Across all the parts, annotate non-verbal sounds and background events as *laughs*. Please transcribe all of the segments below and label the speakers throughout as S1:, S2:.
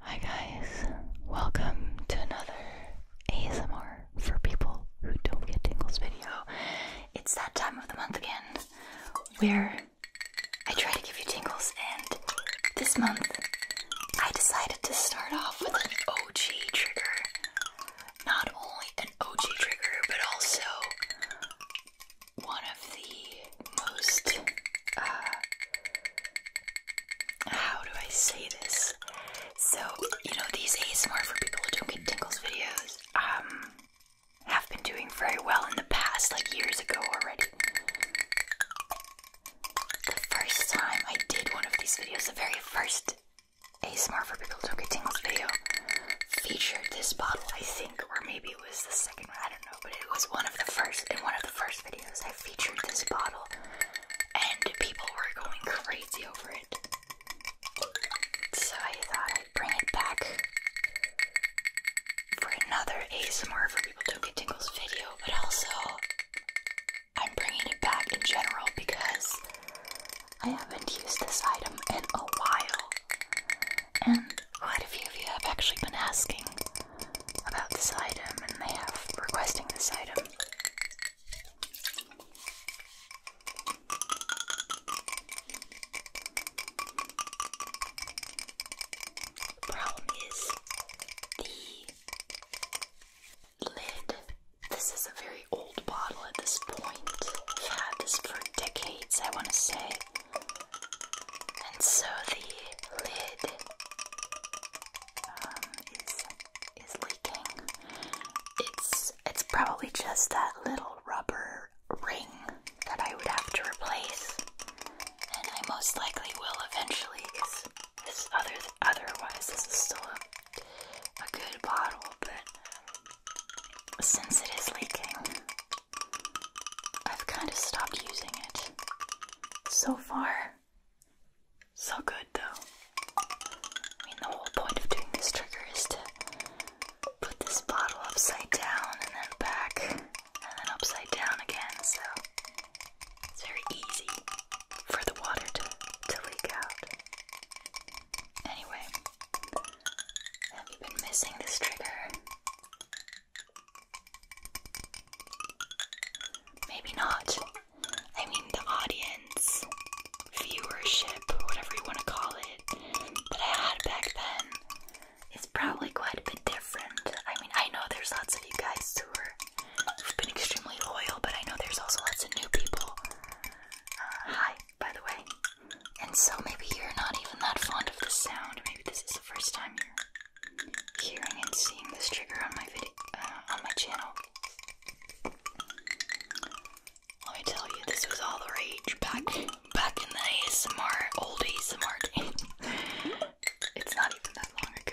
S1: Hi guys, welcome to another ASMR for people who don't get tingles video. It's that time of the month again where I try to give you tingles, and this month I decided to start off with an OG trigger. Not only an OG trigger, but also one of the most, uh, how do I say this? So, you know, these ASMR for people who don't get tingles videos, um, have been doing very well in the past, like years ago already. The first time I did one of these videos, the very first ASMR for people who don't get tingles video featured this bottle, I think, or maybe it was the second one, I but it was one of the first in one of the first videos I featured this bottle, and people were going crazy over it. So I thought I'd bring it back for another ASMR for people to get tingles video, but also I'm bringing it back in general because I haven't used this item in a while, and quite a few of you have actually been asking about this item, and they have requesting this item. problem is the lid. This is a very old bottle at this point. i had this for decades, I want to say. And so the lid um, is is leaking. It's it's probably just that little rubber ring that I would have to replace, and I most likely will eventually. Cause otherwise this is still a a good bottle, but since it is leaking, I've kind of stopped using it. So far, so good though. I mean, the whole point of doing this trigger is to put this bottle upside down and then back and then upside down again, so it's very easy for the water to, to leak out. Anyway, have you been missing this trigger? Maybe not. I mean, the audience, viewership, whatever you want to call it, that I had back then is probably quite a bit different. I mean, I know there's lots of you guys who are, who've been extremely loyal, but I know there's also lots of new people. Uh, hi, by the way. And so maybe you're not even that fond of the sound. Maybe this is the first time you're hearing and seeing this trigger on my video, uh, on my channel. Let me tell you, this was all the rage back back in the ASMR, old ASMR *laughs* it's not even that long ago.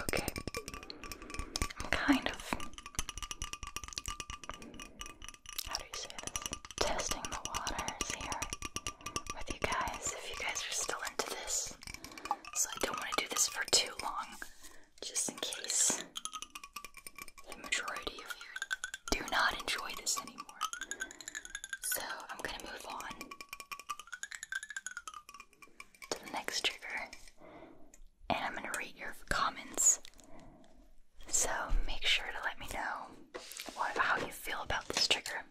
S1: Okay, I'm kind of Testing the waters here with you guys. If you guys are still into this, so I don't want to do this for too long, just in case the majority of you do not enjoy this anymore. So I'm going to move on to the next trigger, and I'm going to read your comments. So make sure to let me know what, how you feel about this trigger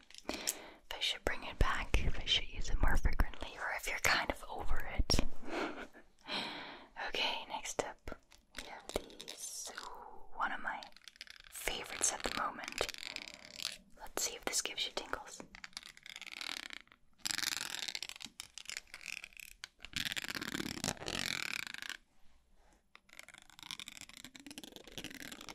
S1: if I should bring it back, if I should use it more frequently, or if you're kind of over it. *laughs* okay, next up, we have these. one of my favorites at the moment. Let's see if this gives you tingles.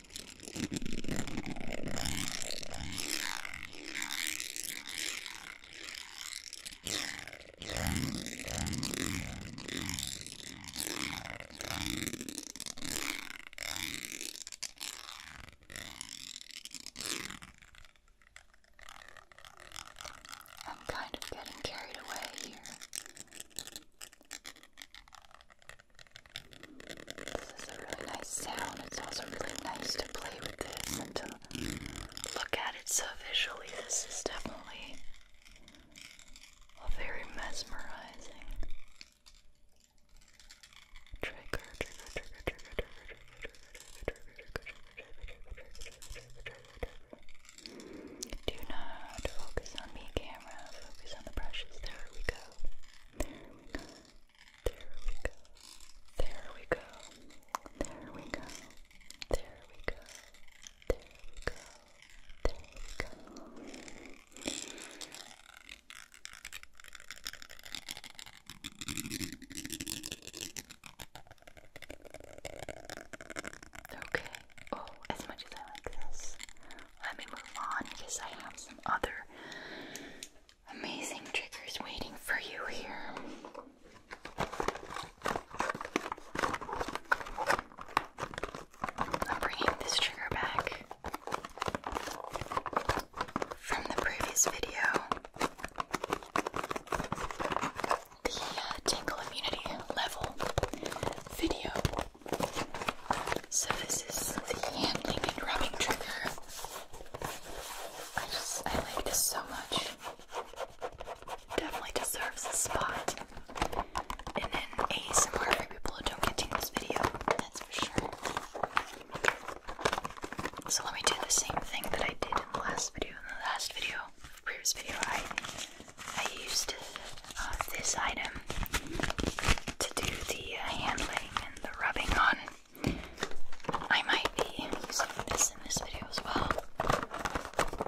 S1: I'm kind of getting carried away here. This is a really nice sound. It's also really nice to play with this and to look at it so visually. This is definitely a very mesmerizing trigger, trigger, trigger, trigger, trigger, trigger, trigger, Do not focus on me, camera. Focus on the brushes. There we go. There we go. There we go. There we go. There we go. There we go. There we go. Okay. Oh, as much as I like this, let me move on because I have some other amazing triggers waiting for you here. I'm bringing this trigger back from the previous video. The uh, tingle immunity level video so this is the handling and rubbing trigger. I just I like this so much. Definitely deserves a spot. And then ASMR for people who don't get this video, that's for sure. So let me do the same thing that I did in the last video. In the last video, previous video, I I used uh, this item to do the uh, handling and the rubbing on. I might be using this in this video as well.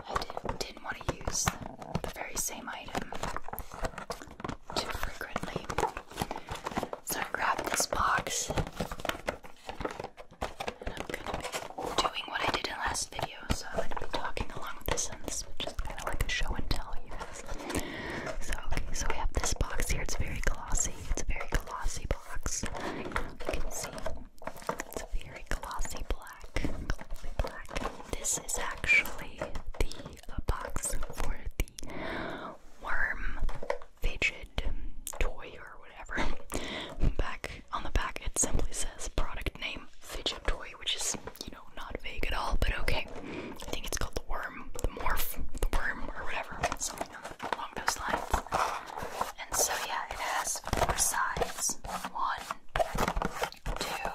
S1: I did, not want to use the, very same item too frequently. So I grabbed this box and I'm gonna be doing what I did in last video, so I'm gonna be talking along with this and this is kind of like a show and tell you guys so okay, so we have this box here. It's very glossy. It's a very glossy box. You can see it's a very glossy black. Glossy black. This is actually the box for the worm fidget toy or whatever. *laughs* Back on the back, it simply says product name fidget toy, which is you know. No, not vague at all, but okay. I think it's called the worm, the morph, the worm, or whatever, something along those And so, yeah, it has four sides one, two,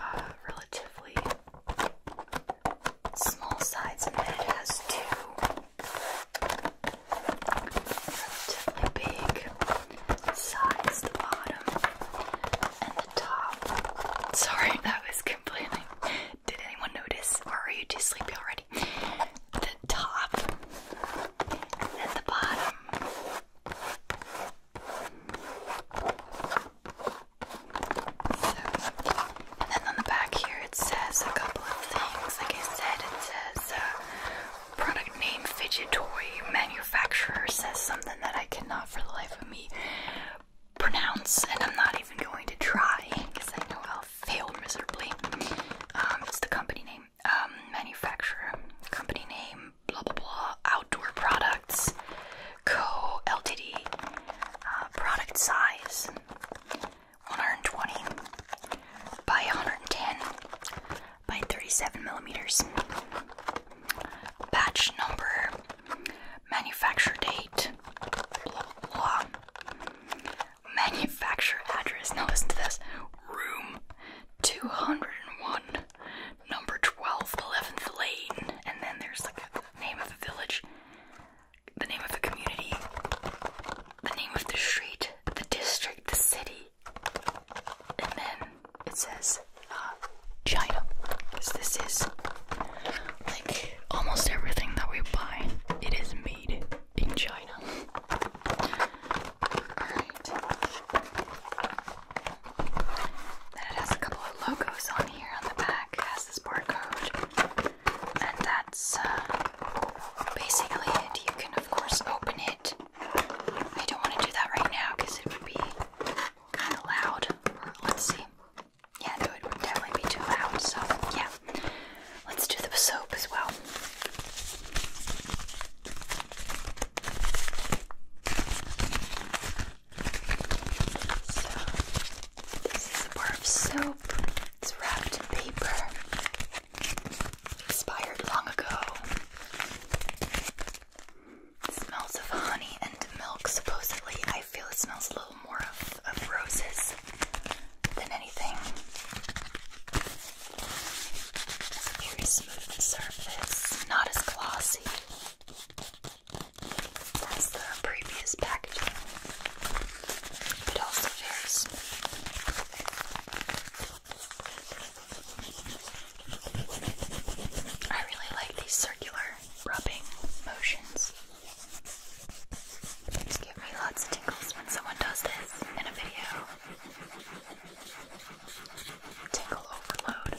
S1: uh, relatively small sides, and then it has two relatively big size the bottom and the top. Sorry, *laughs* that was complaining. Did anyone notice, or are you too sleepy already? The top and the bottom. So, and then on the back here it says a couple of things. Like I said, it says uh, product name fidget toy manufacturer says something that I cannot for the life of me pronounce, and I'm not even going to try because I know I'll fail miserably. Um, it's the company name, um, manufacturer, company name, blah blah blah, outdoor products, co Ltd, uh, product size 120 by 110 by 37 millimeters. Batch number, manufacture date, blah Manufacture address. Now listen to this. Room 201, number 12, 11th lane. And then there's like the name of a village, the name of a community, the name of the street, the district, the city and then it says uh, China, because this is like almost everything that we buy. It is made in China. Alright. Then it has a couple of logos on here on the back. has this barcode, and that's uh, basically it. You can, of course, open it I don't want to do that right now because it would be kind of loud. Let's see. Yeah, no, it would definitely be too loud. So, yeah. Let's do the soap as well. So, this is a bar of soap. It's wrapped in paper. Expired long ago. smells of honey and milk, supposedly. I feel it smells a little more of, roses than anything. Very smooth surface, not as glossy as the previous packaging, but also very smooth. I really like these circular rubbing motions. These give me lots of tickles when someone does this in a video. Tickle overload.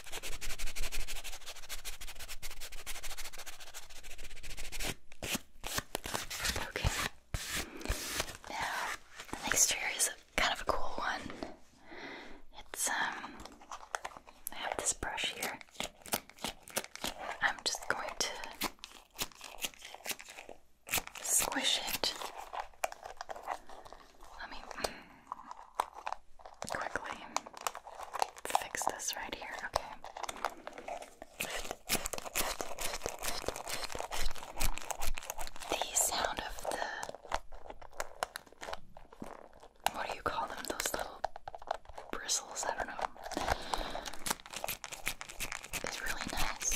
S1: Okay. Now the next trigger is kind of a cool one. It's um I have this brush here. I'm just going to squish it. Let me quickly fix this right here. Okay. The sound of the. What do you call them? Those little bristles? I don't know. It's really nice.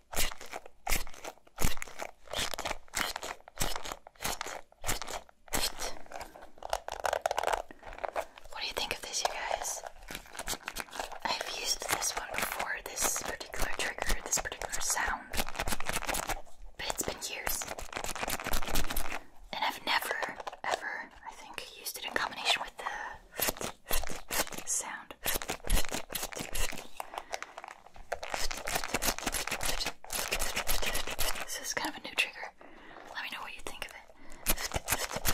S1: What do you think of this, you guys? I've used this one before, this particular trigger, this particular sound, but it's been years. And I've never, ever, I think, used it in combination with the sound. This is kind of a new trigger. Let me know what you think of it.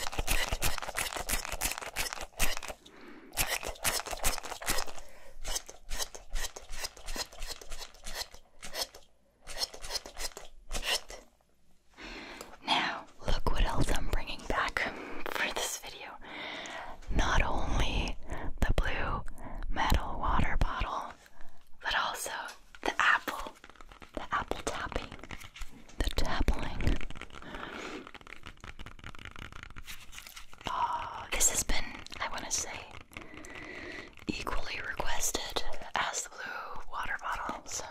S1: Now, look what else I'm bringing back for this video not only the blue metal water bottle, but also the apple, the apple tapping, the tapping. Oh, this has been, I want to say, equally requested as the blue water bottle, so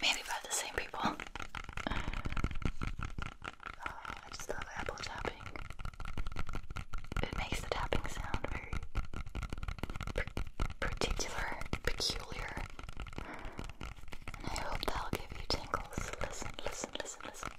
S1: maybe by the same people. I just love apple tapping. It makes the tapping sound very particular, peculiar. And I hope that'll give you tingles. Listen, listen, listen, listen. Listen, listen, listen, listen.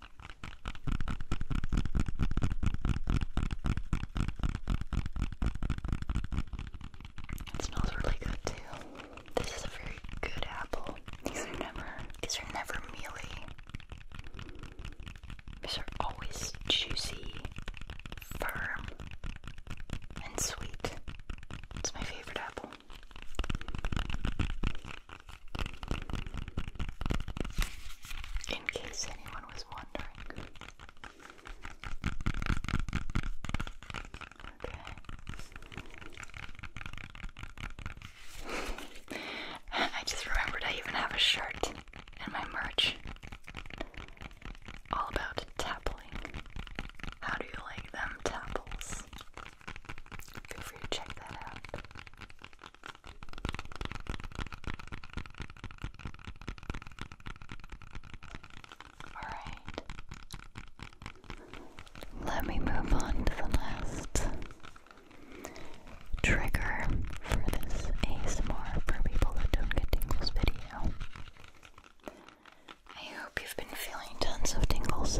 S1: It smells really good too. This is a very good apple. These are never these are never mealy. These are always juicy, firm, and sweet. It's my favorite apple. In case anyone was wondering. Okay. *laughs* I just remembered I even have a shirt in my merch. All about tappling. How do you like them tapples? Feel free to check that out. Alright. Let me move on to the last trigger for this ASMR for people that don't get tingles video. I hope you've been feeling tons of tingles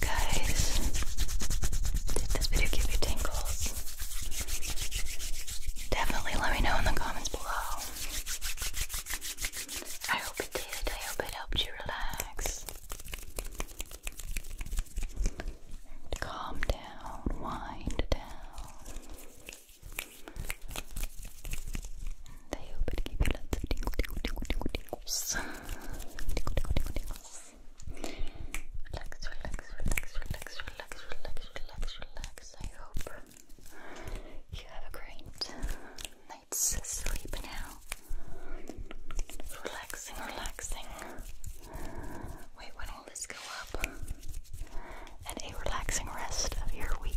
S1: guys, did this video give you tingles? Definitely let me know in the comments below. I hope it did. I hope it helped you relax. Calm down, wind down. And I hope it gave you lots of tingle, tingle, tingle, tingle, tingles. Tingle, tingle, tingle, tingles. Relax, relax, relax, relax, relax, relax, relax, relax. I hope you have a great night's sleep now. Relaxing, relaxing. Wait, when let's go up and a relaxing rest of your week.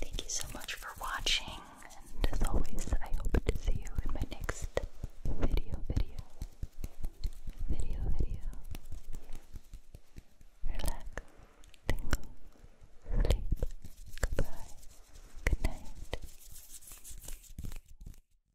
S1: Thank you so much for watching, and as always, I hope to see you in my next video, video, video, video. Relax, tingle, sleep, goodbye, good